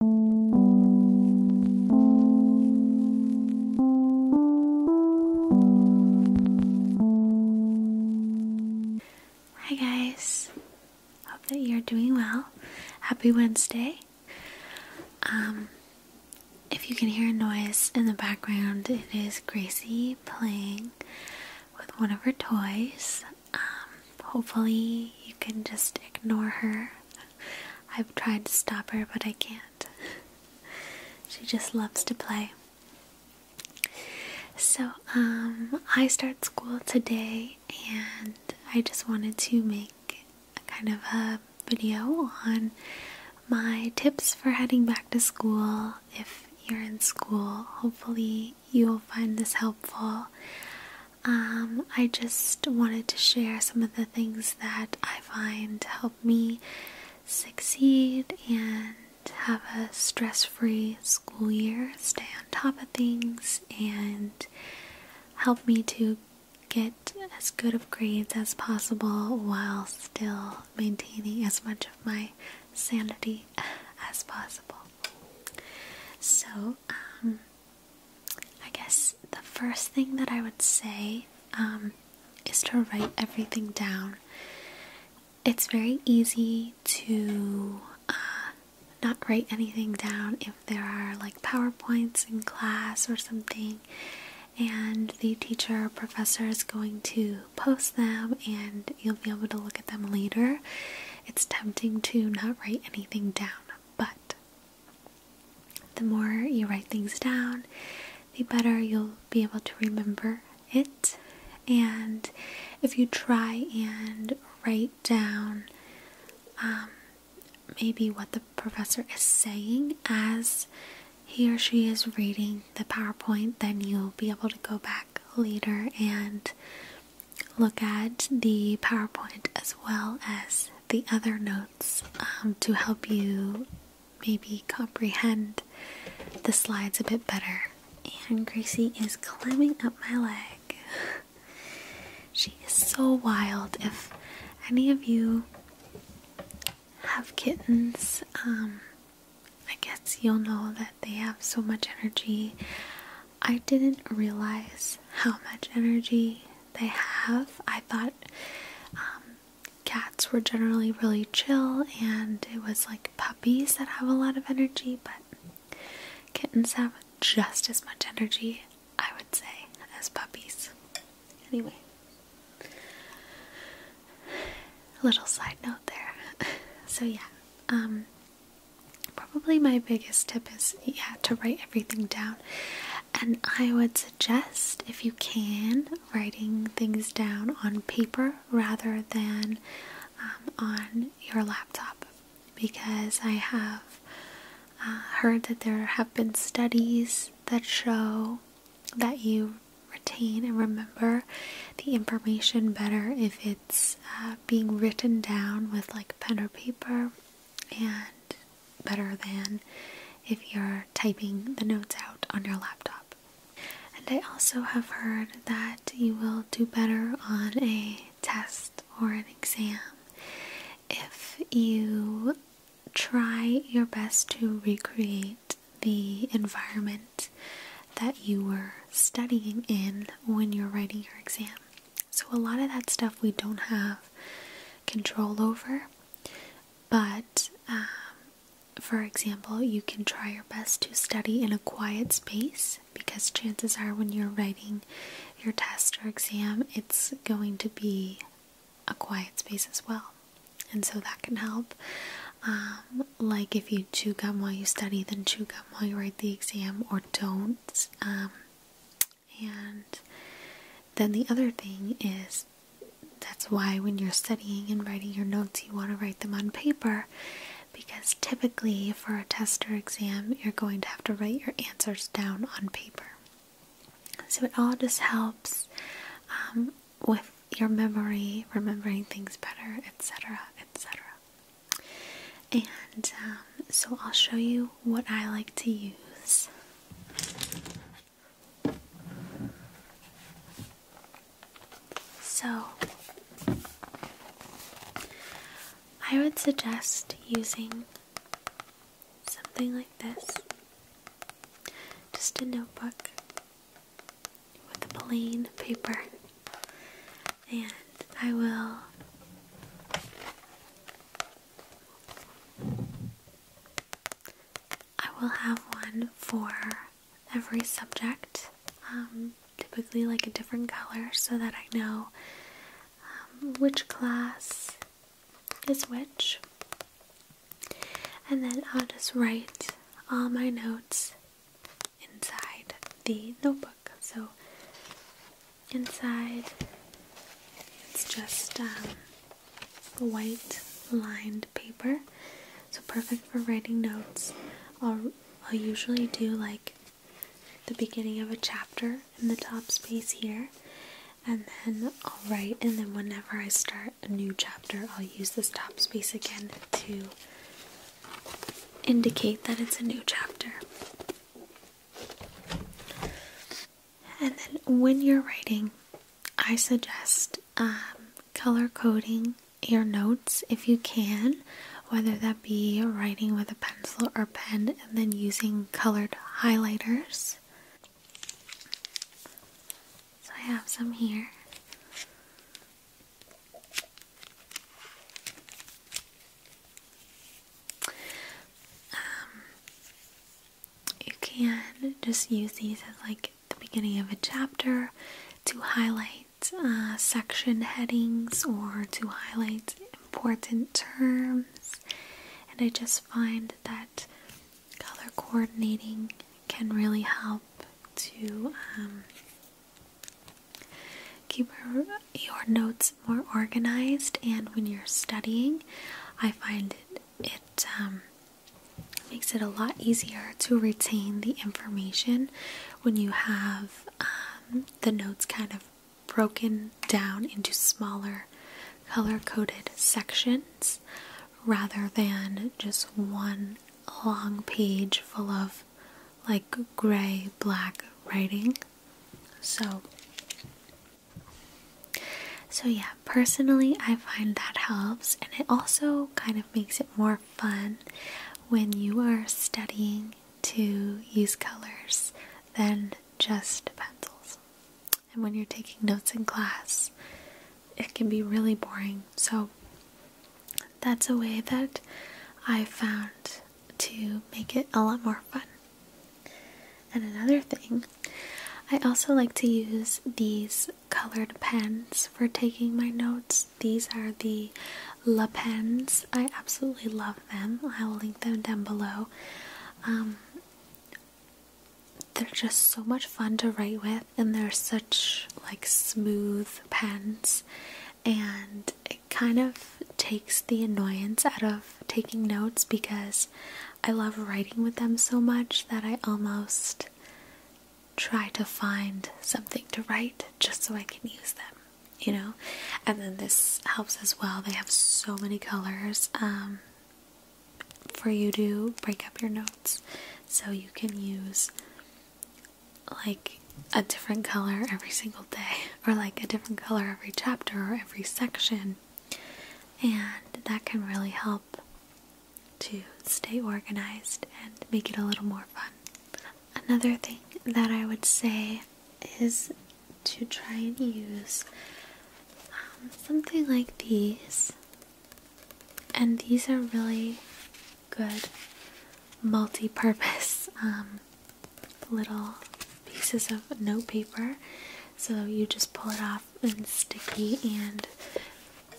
Hi guys, hope that you're doing well. Happy Wednesday. Um, if you can hear a noise in the background, it is Gracie playing with one of her toys. Um, hopefully, you can just ignore her. I've tried to stop her, but I can't. she just loves to play. So, um, I start school today, and I just wanted to make a kind of a video on my tips for heading back to school if you're in school. Hopefully, you'll find this helpful. Um, I just wanted to share some of the things that I find help me succeed and have a stress free school year, stay on top of things, and help me to get as good of grades as possible while still maintaining as much of my sanity as possible. So, um, I guess the first thing that I would say um, is to write everything down. It's very easy to uh, not write anything down if there are like PowerPoints in class or something, and the teacher professor is going to post them, and you'll be able to look at them later it's tempting to not write anything down, but the more you write things down, the better you'll be able to remember it. And if you try and write down um, maybe what the professor is saying as he or she is reading the PowerPoint, then you'll be able to go back later and look at the PowerPoint as well as the other notes um, to help you maybe comprehend the slides a bit better. And Gracie is climbing up my leg. She is so wild. If any of you have kittens, um, I guess you'll know that they have so much energy. I didn't realize how much energy they have. I thought um, cats were generally really chill, and it was like puppies that have a lot of energy, but kittens have just as much energy, I would say, as puppies. Anyway, little side note there. So, yeah, um, Probably my biggest tip is yeah to write everything down, and I would suggest if you can writing things down on paper rather than um, on your laptop because I have uh, heard that there have been studies that show that you retain and remember the information better if it's uh, being written down with like pen or paper and better than if you're typing the notes out on your laptop. And I also have heard that you will do better on a test or an exam if you try your best to recreate the environment that you were studying in when you're writing your exam. So, a lot of that stuff we don't have control over, but um, for example, you can try your best to study in a quiet space because chances are when you're writing your test or exam, it's going to be a quiet space as well. And so that can help. Um, like if you chew gum while you study, then chew gum while you write the exam, or don't. Um, and then the other thing is that's why when you're studying and writing your notes, you want to write them on paper because typically for a test or exam, you're going to have to write your answers down on paper. So it all just helps um, with your memory, remembering things better, etc., etc. And um, so I'll show you what I like to use. So, I would suggest using something like this just a notebook with plain paper and I will I will have one for every subject um, typically like a different color so that I know um, which class is which and then I'll just write all my notes inside the notebook. So inside it's just um, white lined paper, so perfect for writing notes. I'll, I'll usually do like the beginning of a chapter in the top space here and then I'll write and then whenever I start a new chapter I'll use this top space again to indicate that it's a new chapter. And then when you're writing, I suggest um, color coding your notes if you can, whether that be writing with a pencil or pen and then using colored highlighters. So I have some here. Um, you can just use these as like the beginning of a chapter to highlight uh, section headings or to highlight important terms. And I just find that color coordinating can really help to um, keep your, notes more organized. And when you're studying, I find it, it um, makes it a lot easier to retain the information when you have um, the notes kind of broken down into smaller color coded sections rather than just one long page full of like gray black writing. So so yeah, personally I find that helps and it also kind of makes it more fun when you are studying to use colors than just pencils. And when you're taking notes in class, it can be really boring. So that's a way that I found to make it a lot more fun. And another thing, I also like to use these colored pens for taking my notes. These are the La Pens. I absolutely love them. I will link them down below. Um, they're just so much fun to write with and they're such like smooth pens and it kind of takes the annoyance out of taking notes because I love writing with them so much that I almost try to find something to write just so I can use them you know and then this helps as well they have so many colors um, for you to break up your notes so you can use like a different color every single day or like a different color every chapter or every section and that can really help to stay organized and make it a little more fun. Another thing that I would say is to try and use um, something like these and these are really good multi-purpose um, little pieces of notepaper so you just pull it off and sticky and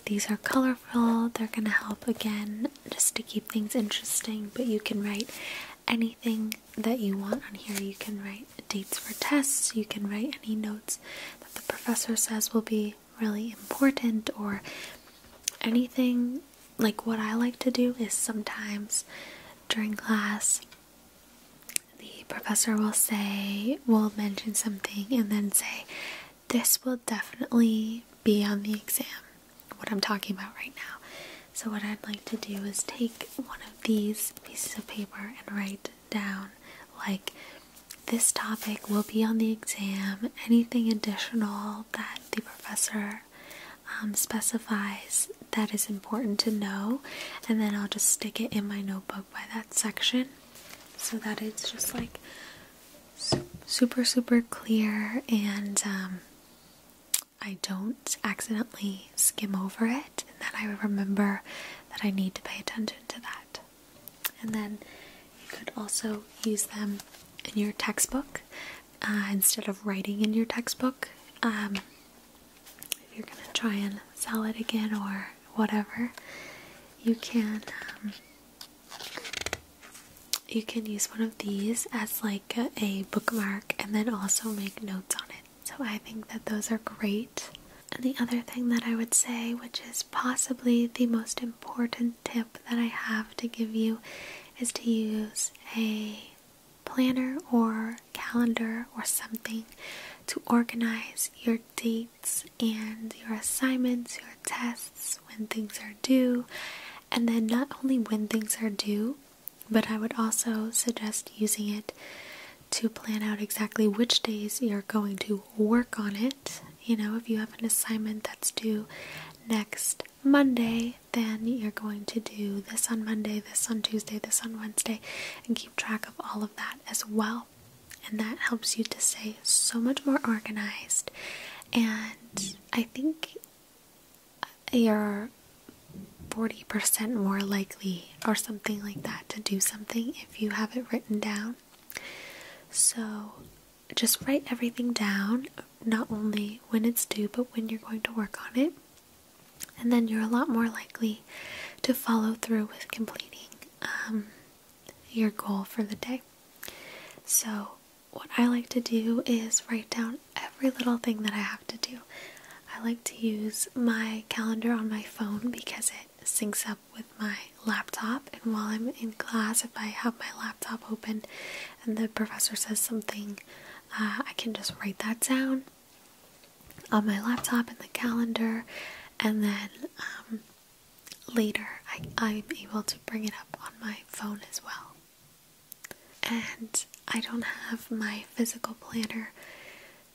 these are colorful they're gonna help again just to keep things interesting but you can write anything that you want on here you can write dates for tests you can write any notes that the professor says will be really, important or anything. Like, what I like to do is sometimes during class, the professor will say, will mention something, and then say, This will definitely be on the exam, what I'm talking about right now. So, what I'd like to do is take one of these pieces of paper and write down like this topic will be on the exam, anything additional that the professor um, specifies that is important to know, and then I'll just stick it in my notebook by that section so that it's just like super, super clear and um, I don't accidentally skim over it, and then I remember that I need to pay attention to that and then you could also use them in your textbook uh, instead of writing in your textbook um, if you're gonna try and sell it again or whatever you can um, you can use one of these as like a bookmark and then also make notes on it so I think that those are great. And the other thing that I would say, which is possibly the most important tip that I have to give you, is to use a planner or calendar or something to organize your dates and your assignments, your tests, when things are due, and then not only when things are due, but I would also suggest using it to plan out exactly which days you're going to work on it. You know, if you have an assignment that's due next Monday, then you're going to do this on Monday, this on Tuesday, this on Wednesday, and keep track of all of that as well. And that helps you to stay so much more organized. And I think you're 40% more likely or something like that to do something if you have it written down. So just write everything down, not only when it's due, but when you're going to work on it. And then you're a lot more likely to follow through with completing um, your goal for the day. So, what I like to do is write down every little thing that I have to do I like to use my calendar on my phone because it syncs up with my laptop. And while I'm in class, if I have my laptop open and the professor says something, uh, I can just write that down on my laptop in the calendar, and then um, later I'm able to bring it up on my phone as well. And I don't have my physical planner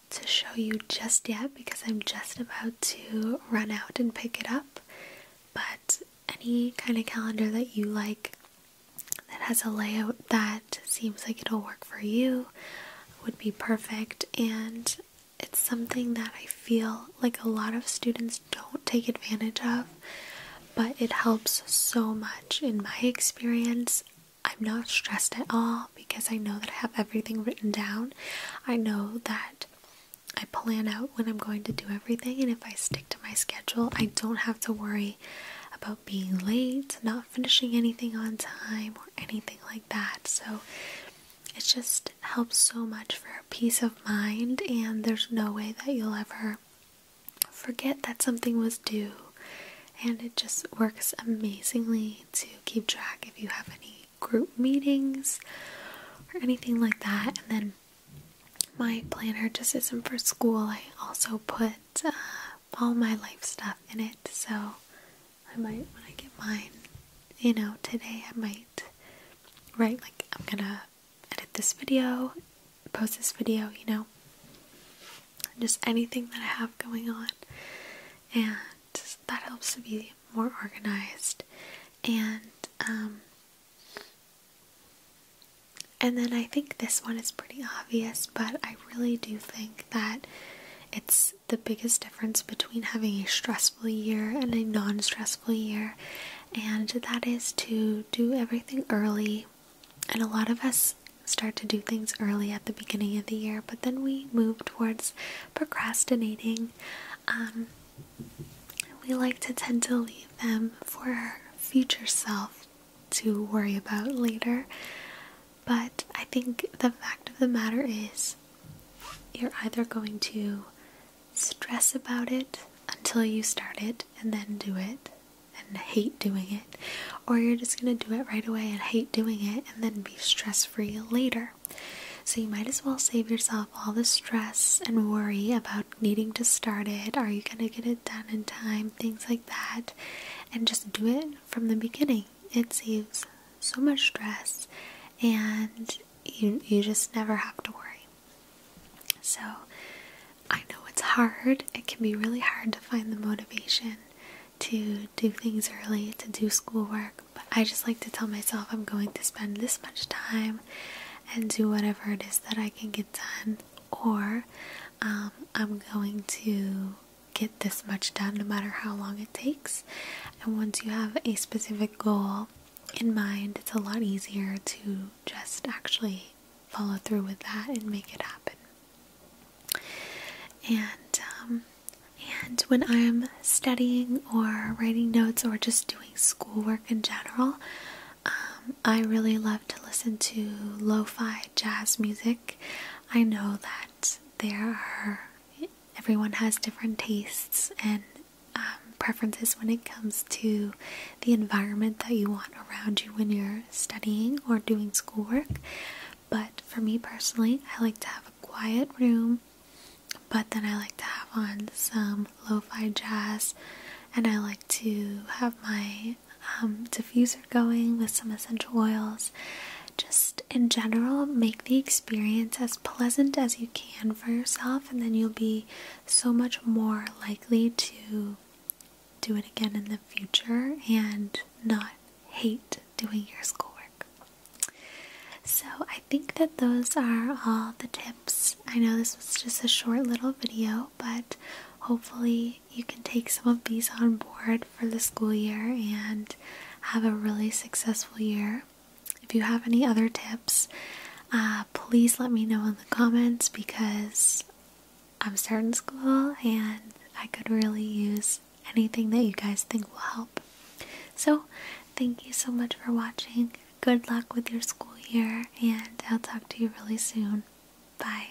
to show you just yet because I'm just about to run out and pick it up. But any kind of calendar that you like that has a layout that seems like it'll work for you would be perfect. And it's something that I feel like a lot of students don't take advantage of, but it helps so much in my experience. I'm not stressed at all because I know that I have everything written down. I know that I plan out when I'm going to do everything, and if I stick to my schedule, I don't have to worry about being late, not finishing anything on time, or anything like that. So it just helps so much for peace of mind, and there's no way that you'll ever forget that something was due and it just works amazingly to keep track if you have any group meetings or anything like that. And then my planner just isn't for school. I also put uh, all my life stuff in it, so I might when I get mine, you know, today I might write like I'm gonna edit this video, post this video, you know just anything that I have going on, and that helps to be more organized. And um, and then I think this one is pretty obvious, but I really do think that it's the biggest difference between having a stressful year and a non stressful year, and that is to do everything early and a lot of us start to do things early at the beginning of the year, but then we move towards procrastinating. Um, we like to tend to leave them for future self to worry about later. But I think the fact of the matter is, you're either going to stress about it until you start it and then do it, and hate doing it, or you're just going to do it right away and hate doing it and then be stress free later. So, you might as well save yourself all the stress and worry about needing to start it. Are you going to get it done in time? Things like that. And just do it from the beginning. It saves so much stress and you, you just never have to worry. So, I know it's hard. It can be really hard to find the motivation to do things early, to do schoolwork, but I just like to tell myself I'm going to spend this much time and do whatever it is that I can get done, or um, I'm going to get this much done no matter how long it takes. And once you have a specific goal in mind, it's a lot easier to just actually follow through with that and make it happen. And um, and when I'm studying or writing notes or just doing schoolwork in general, um, I really love to listen to lo-fi jazz music. I know that there are everyone has different tastes and um, preferences when it comes to the environment that you want around you when you're studying or doing schoolwork. But for me personally, I like to have a quiet room, but then I like to have on some lo fi jazz and I like to have my um, diffuser going with some essential oils. Just in general, make the experience as pleasant as you can for yourself, and then you'll be so much more likely to do it again in the future and not hate doing your schoolwork. So, I think that those are all the tips. I know this was just a short little video, but hopefully, you can take some of these on board for the school year and have a really successful year. If you have any other tips, uh, please let me know in the comments because I'm starting school and I could really use anything that you guys think will help. So, thank you so much for watching. Good luck with your school year, and I'll talk to you really soon. Bye.